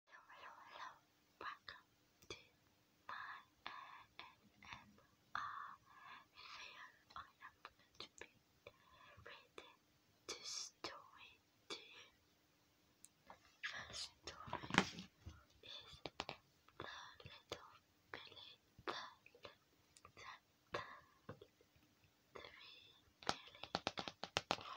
Hello, welcome to my ASMR video. I am going to be reading this story to you. story is The Little Billy the Little Three Billy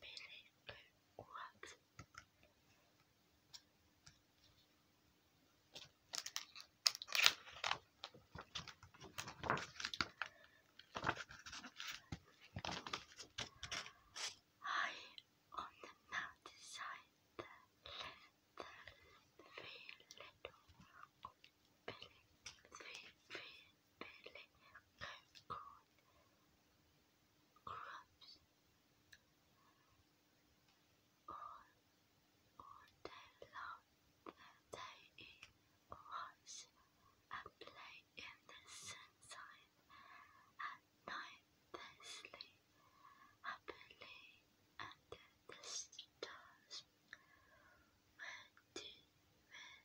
Billy who what? High on the mountainside there lived three little they love the day in wash and play in the sunshine. At night they sleep happily under the stars. Where do, where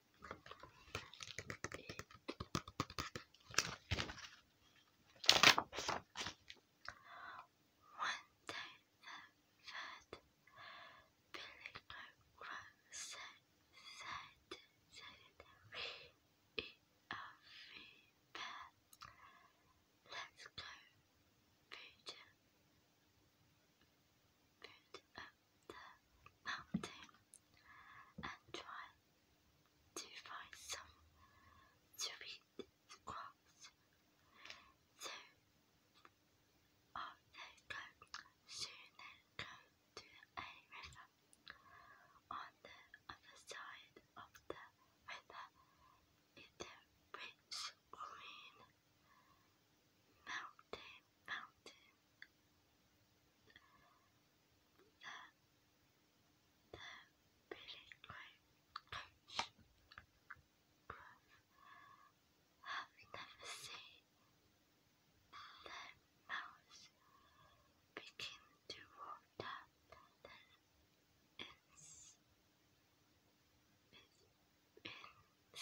One day the third pilgrim rose and said, We are free men. Let's go, Peter. Put up the mountain and try to find some to read the cross. So off they go. Soon they come to a river. On the other side of the river is a rich green mountain mountain the, the really great have never seen their mouths begin to walk down their ins, ins, ins,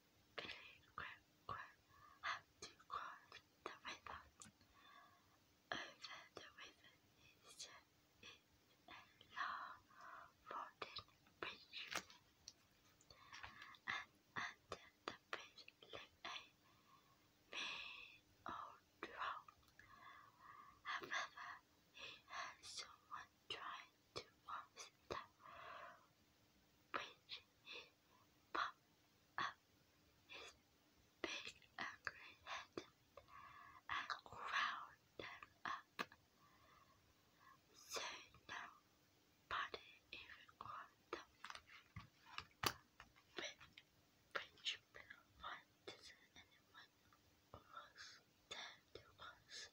have to cross the river. Over the river is, a long wooden bridge, and under the bridge lives a old troll. However, he has someone trying to cross the bridge. He pop up his big angry head and ground them up. So nobody even caught them. Which one doesn't anyone was dead was the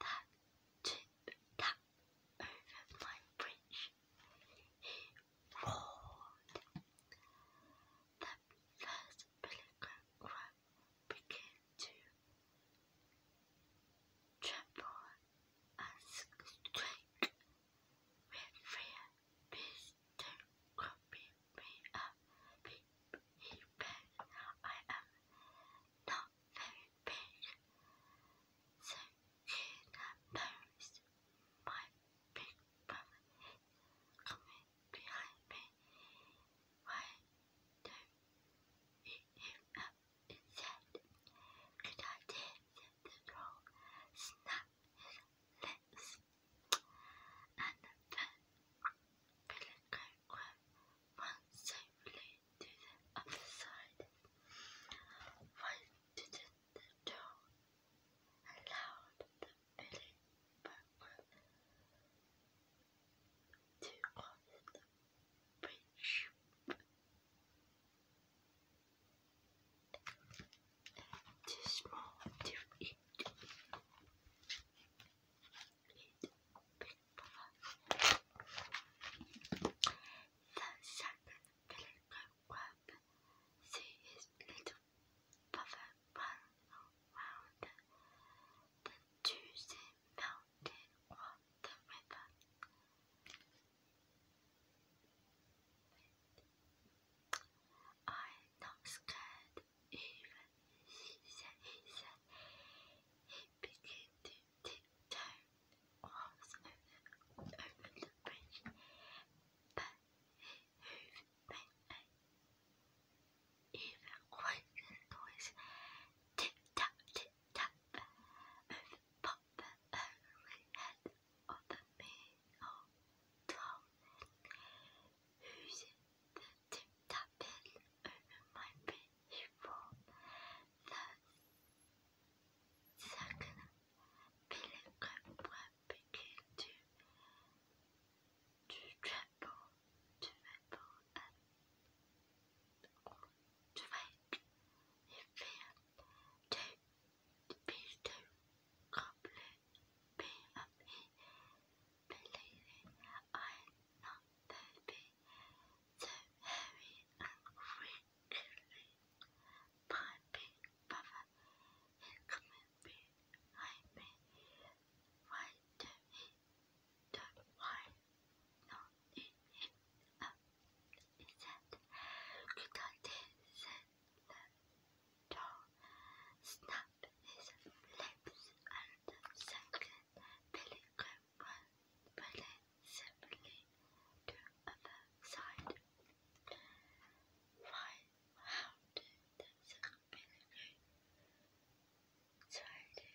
that tip tap over my bridge. He roared. The first pelican crow began to tremble and squeak with fear. Please don't me up even I am not very big, so you notice my big brother coming behind me. Why don't you him up instead? Good idea, said the troll, snap his legs, and then Billy grab one safely to the side. Why didn't allow the Billy Buckram to cross the bridge? Too small to eat. The second little crab, see his little brother run around the juicy mountain or I'm not scared even Caesar he began to tiptoe almost over, over the bridge, but he moved back and even quieter noise, tip-tap, tip-tap, over pop the early head of the man or who's the tu t'appelles my beautiful the second pilgrim begin to to tremble to tremble and to wake in fear too complete be of me believing I'm not baby, so hairy and wrinkly. My big brother is coming behind me. Why do he don't why not eat him up? He said, Good idea, said the dog. Snap his lips and second Billy relatively to other side. Why how did the second Billy try to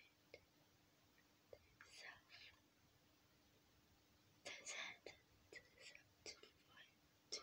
himself? to the to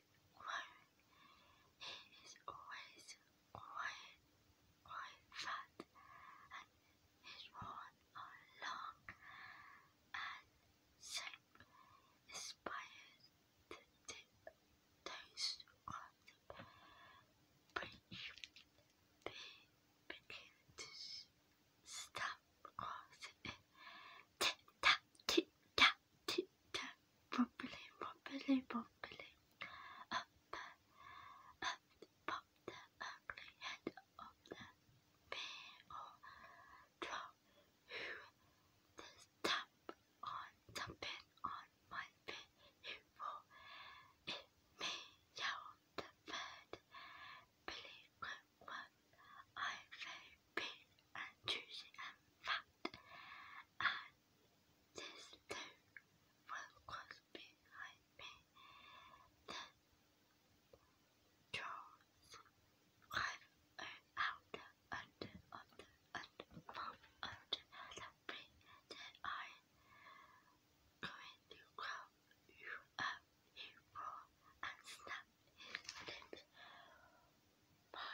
alone. He is always, always, always fat, and his horns are long and sharp, aspires to dip toast the bridge. They begin to it. Tip tap, tip properly, properly, properly. Up, up, pop the ugly head of the bear or troll who this tap on something on my bed. Who will it me yell the bird? Billy I'm very big and and fat. This too will close behind me. Then Charles climbed out under under and from under the bridge that I going to call you up he roared and his lips. My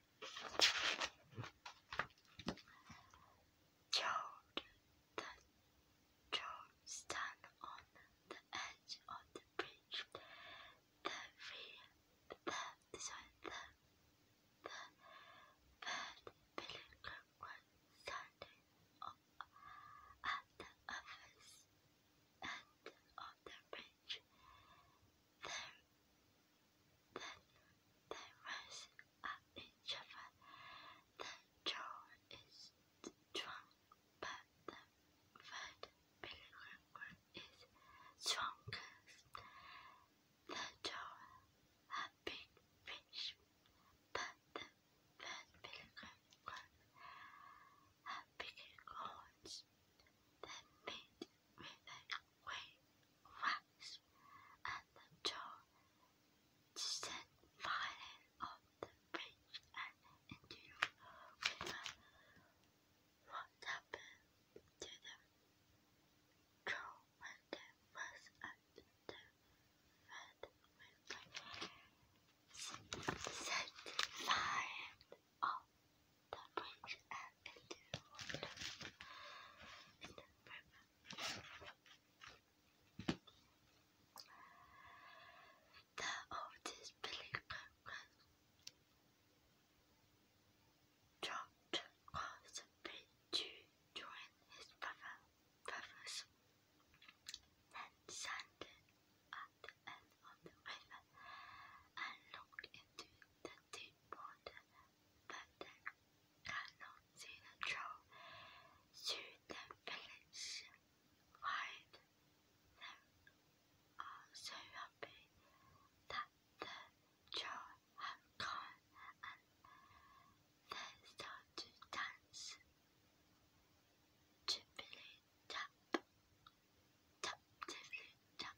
George, then George stand on the edge of the bridge. The rear, the this the the third pilgrim standing up at the other end of the bridge. Then, then they race at each other. Then Joel is drunk, but the third is strongest. The Joel had big fish, but the third Billy Lincoln had They meet with a wave wax, and the tall distant violin of the bridge and into the river. What happened to the troll when they was at the red river? Set fire of that brings air into the river. The oldest building dropped across the to join his brother, brothers, then sat at the end of the river and looked into the they bond, but they cannot see the truth. Through the village, hide them are so happy that the child have gone and they start to dance. Tippily tap, tap, tippily tap.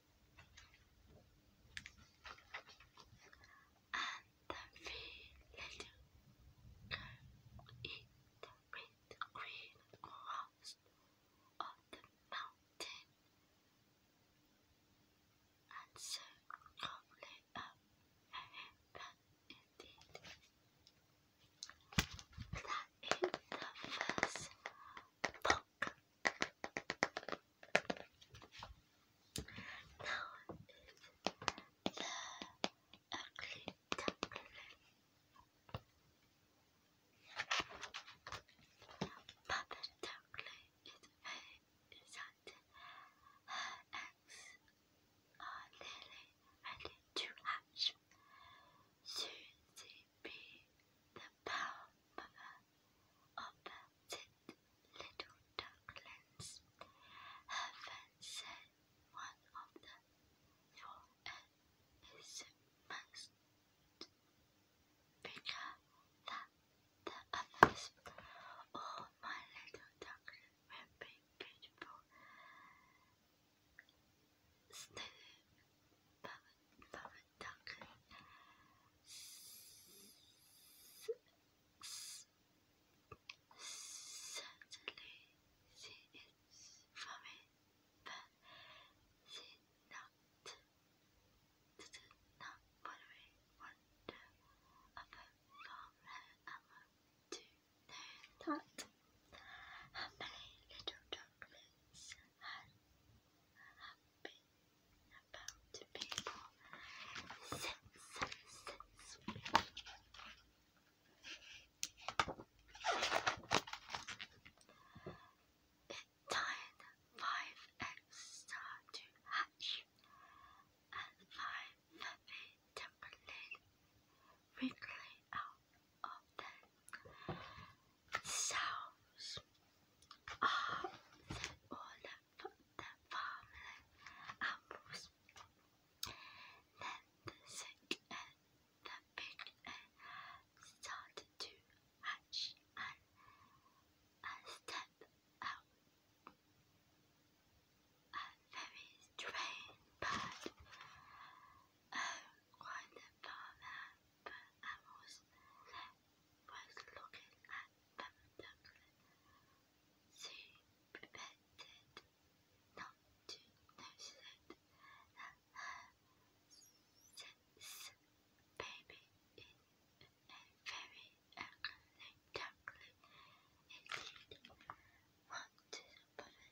and we let in the red, green grass of the mountain, and so calmly up heaven indeed. That is the first book. Now is the ugly duckling. Papa duckling is very Her eggs are nearly ready to hatch. Soon they be the power of melted little ducklings. Heaven said one of them, You're an isthmus bigger than the others. Oh, my little duckling will be beautiful. Still, duck. Certainly she is from it, but she not not worry wonder about from her hour to know that how many little ducklings had, been about people since, since it died five extra to hatch and five heavy Timberlake wrinkly out of them. Sounds are the the family apples. Then the sick and the big and started to hatch and, step out. A very strange bird. Oh, cried farmer, but apples was looking at them dumbly. She pretended not to notice it, that her six baby in a very ugly duckling. It did want to put it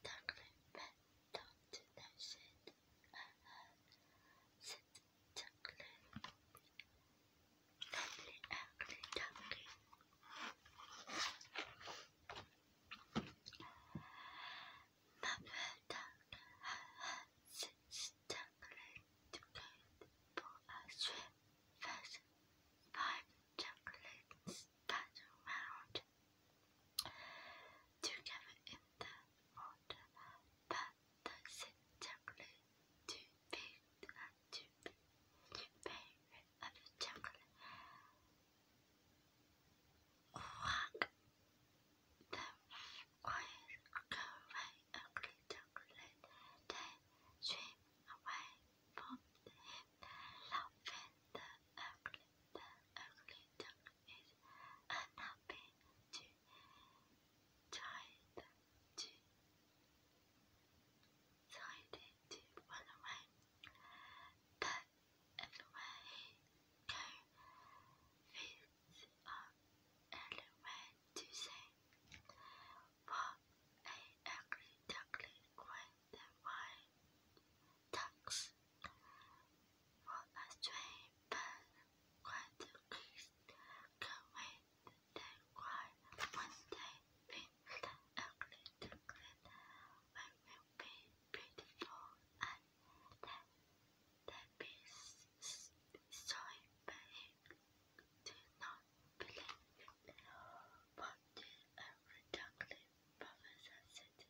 duckling, but don't نجد ستقلل قبل أكل تمرين مبدأ ستقلل تبعد بأسفل فاس five chocolates passed around together Pâte, pâte, c'est chocolate. Tu baked and tu, tu paired avec chocolate. Rock. The quiet go away ugly chocolate. They swim away from him, laughing the ugly, the ugly chocolate is napping too tired to decided to run away. But everywhere he go, fields are everywhere to see. What a ugly duckling cried the wild ducks. 我发现一本筷子可为太快，when they feel the ugly things when we be beautiful and that that be so big do not believe what the every darkly professor said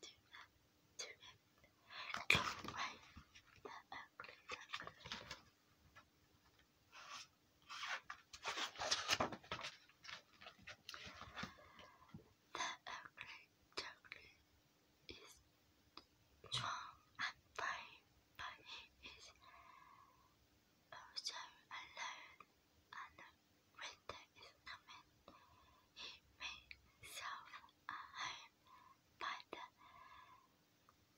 do not, do not, go away, the ugly, the ugly. is strong and brave, but he is also alone and winter is coming. He may self iron by the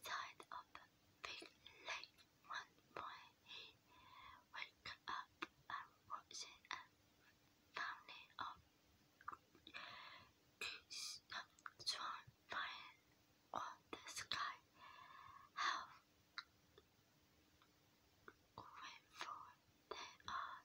side of the big lake. One morning he woke up and watched a family of geese flying on the sky. How grateful they are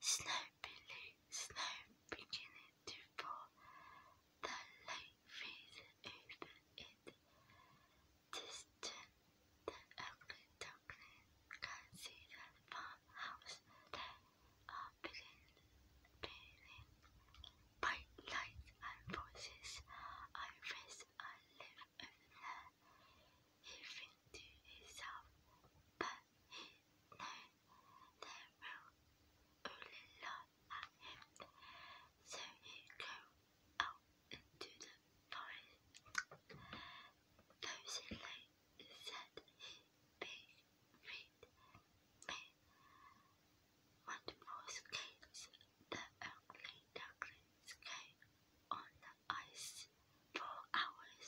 Snow Billy, beginning to fall. The late fever over it. Distant, the ugly duckling can see the farmhouse. They are beginning, beginning. Bright lights and voices. I raise I live there. He thinks to himself, but he knows they will at him. So he goes out into the forest. Those said he big feet Multiple skates the only Duncan skate on the ice for hours.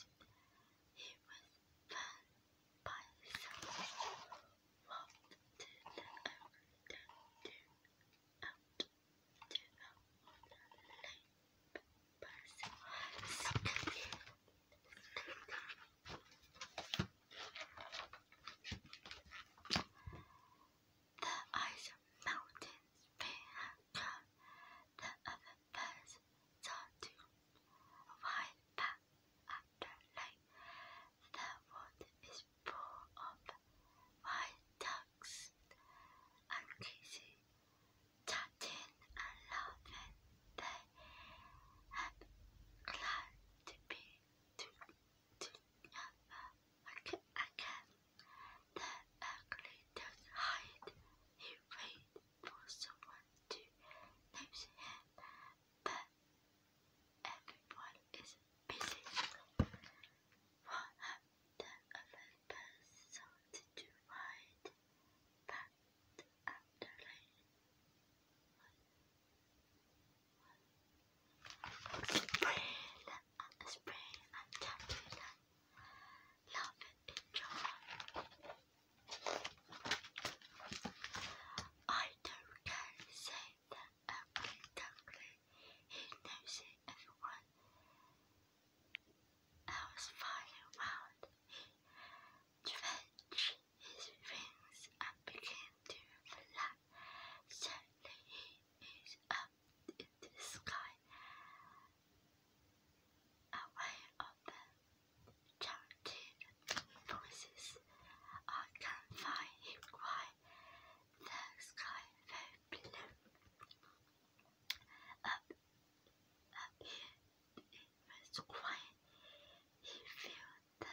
He was burned by someone walked to the only Duncan out to a water lake. Person skating, skating. The ice mountains may the other birds sought to ride after night. The water is full of white ducks and cases, chatting and laughing. They have glad to be to again, again. The ugly does hide. He waits for someone to notice him, but everyone is busy. One of the other persons to ride, but after late and spray and tattoos and love each other. I don't care, say that ugly He knows it, everyone else flying around. He stretched his wings and began to fly. Suddenly he is up in the sky, away of the chanted voices. I can find him quite the sky very blue. Up, up here, it was quiet. He felt the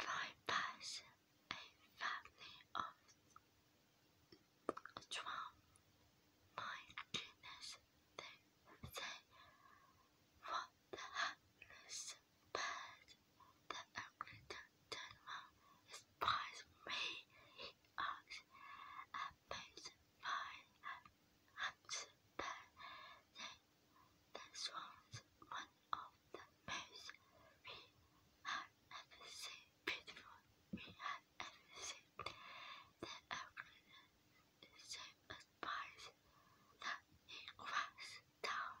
Five pies, a family of twelve. My goodness, they say what the happiness but the angry gentleman spies me, he asked, and makes fine hamster. This was one of the most we have ever seen, beautiful we have ever seen. The algorithm so advised that he was down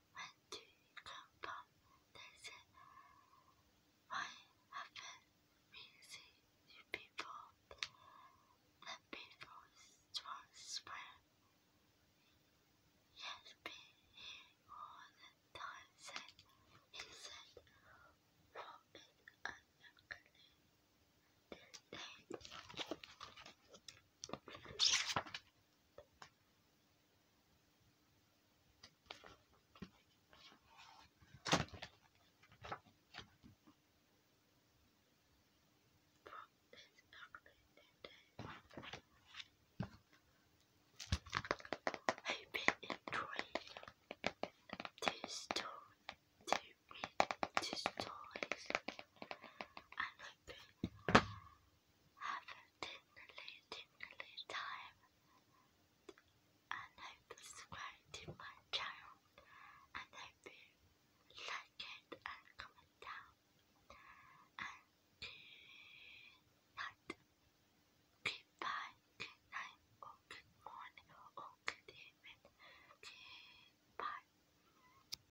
when you come back? They said, Why haven't seen you before? The people strong swear. Yes, been here all the time, said he said, Robin and Mercury. They Hope you enjoyed this story, to read these stories, and hope have a dignity, dignity time, and hope you subscribe to my channel, and hope you like it and comment down, and good night, goodbye, good night, or good morning, or good evening, goodbye.